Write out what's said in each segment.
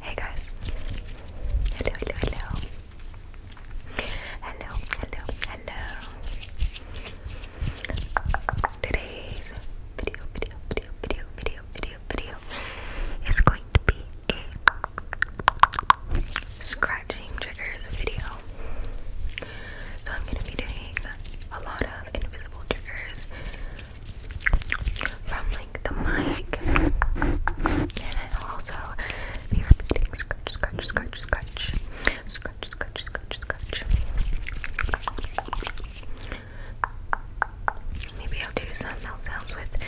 Hey guys. Hello, hello, hello. Hello, hello, hello. Today's video, video, video, video, video, video, video is going to be a scratching triggers video. So I'm going to be doing a lot of invisible triggers from like the mic. And it'll also be repeating scratch, scratch, scratch, scratch. Scratch, scratch, scratch, scratch. Maybe I'll do some mouth sounds with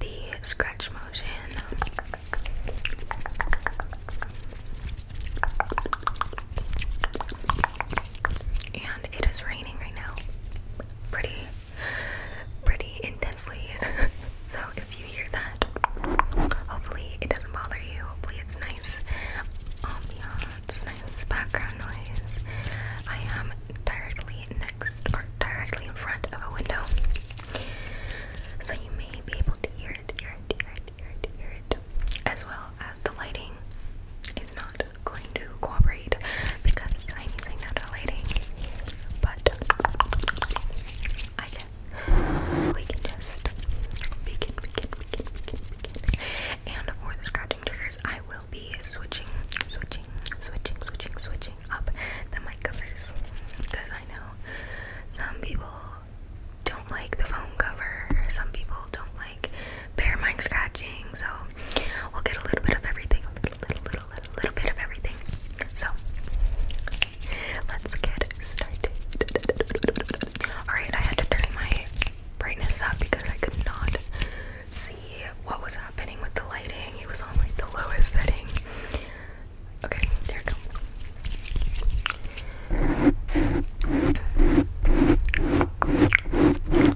the scratch motion and it is raining right now pretty pretty intensely so if you hear that hopefully it doesn't bother you hopefully it's nice ambiance nice background noise I am directly next or directly in front of a window so you may be able to hear it hear it hear it hear it hear it as well uh, the lighting is not going to cooperate because I'm using natural lighting. But I guess we can just begin, begin, begin, begin, begin. And for the scratching triggers, I will be switching, switching, switching, switching, switching up the mic covers because I know some people don't like the phone cover. Some people don't Bear mind scratching. So we'll get a little bit of everything, a little, little, little, little, little bit of everything. So let's get started. Alright, I had to turn my brightness up because I could not see what was happening with the lighting. It was on like the lowest setting. Okay, there we go.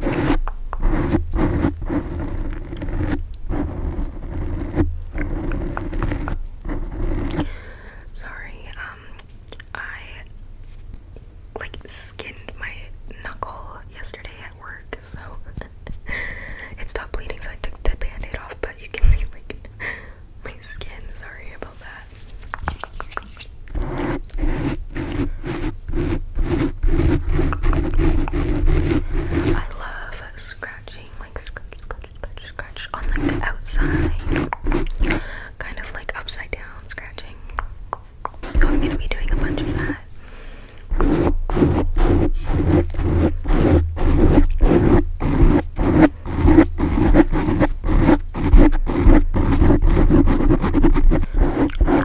Sorry, um, I like skinned my knuckle yesterday at work, so it stopped bleeding, so I took the band aid off, but you can see like my skin. Sorry about that. I love scratching, like scratch, scratch, scratch, scratch on like the outside, kind of like upside down scratching. So I'm gonna be doing a bunch of that.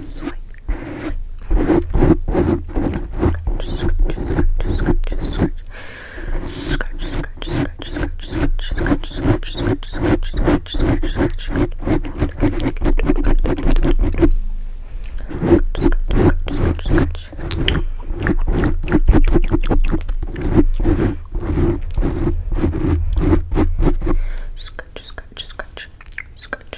swipe, swipe. Scratch, scratch, scratch, scratch, scratch, scratch, scratch, scratch, scratch, scratch, scratch, scratch, scratch, scratch, scratch, scratch,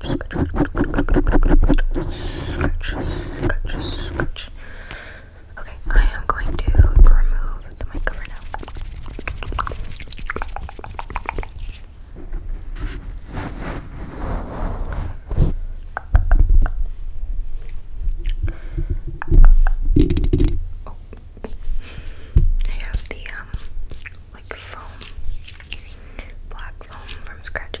scratch, scratch. Okay, I am going to remove the mic cover now. Oh. I have the um like foam black foam from scratch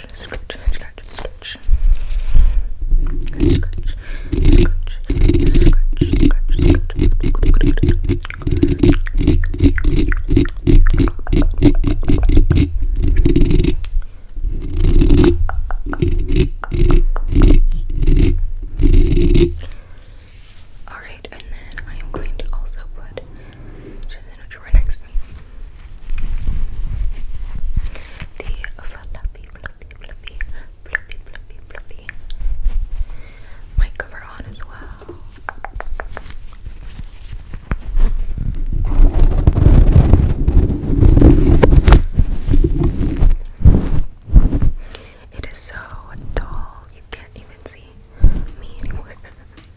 scratch, scratch, scratch, Alright, and then I am going to also put drawer next. The fluffy, fluffy, fluffy, fluffy, fluffy, fluffy mic cover on as well. It is so tall you can't even see me anymore.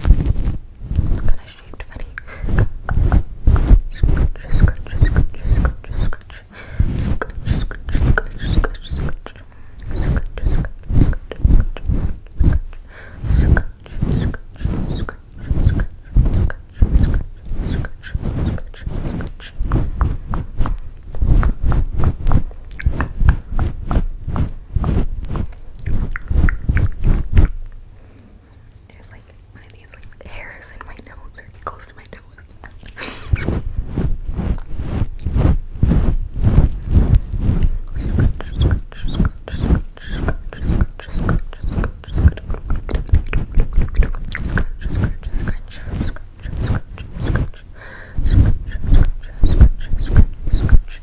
kind of shaped funny. Scratch, scratch, scratch, scratch, scratch. Scratch, scratch, scratch, scratch, scratch. Scratch, scratch, scratch, scratch. Scratch, scratch, scratch, scratch. Scratch, there's like one of these like hairs in my nose or close to my nose. Scratch, scratch, scratch, scratch, scratch,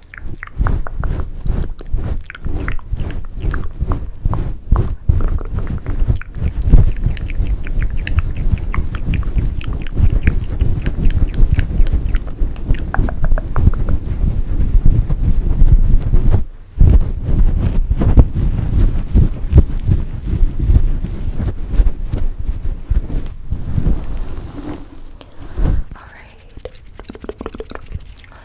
All right. All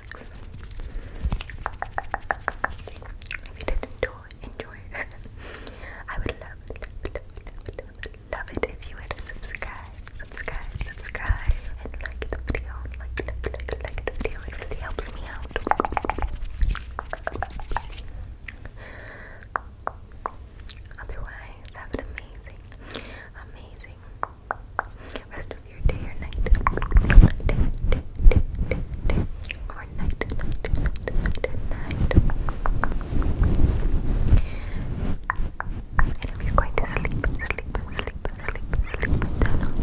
if you did enjoy, enjoy. I would love, love, love, love, love it if you would subscribe, subscribe, subscribe, and like the video. Like, like, like, like the video. It really helps me out. Otherwise, have an amazing, amazing rest your day or night. Day, day, day, day, day. Or night, night, night, night, night. And if you're going to sleep, sleep, sleep, sleep, sleep down.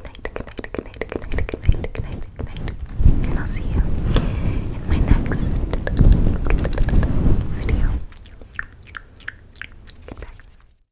Good night, good night, good night, good night, And I'll see you in my next video. Get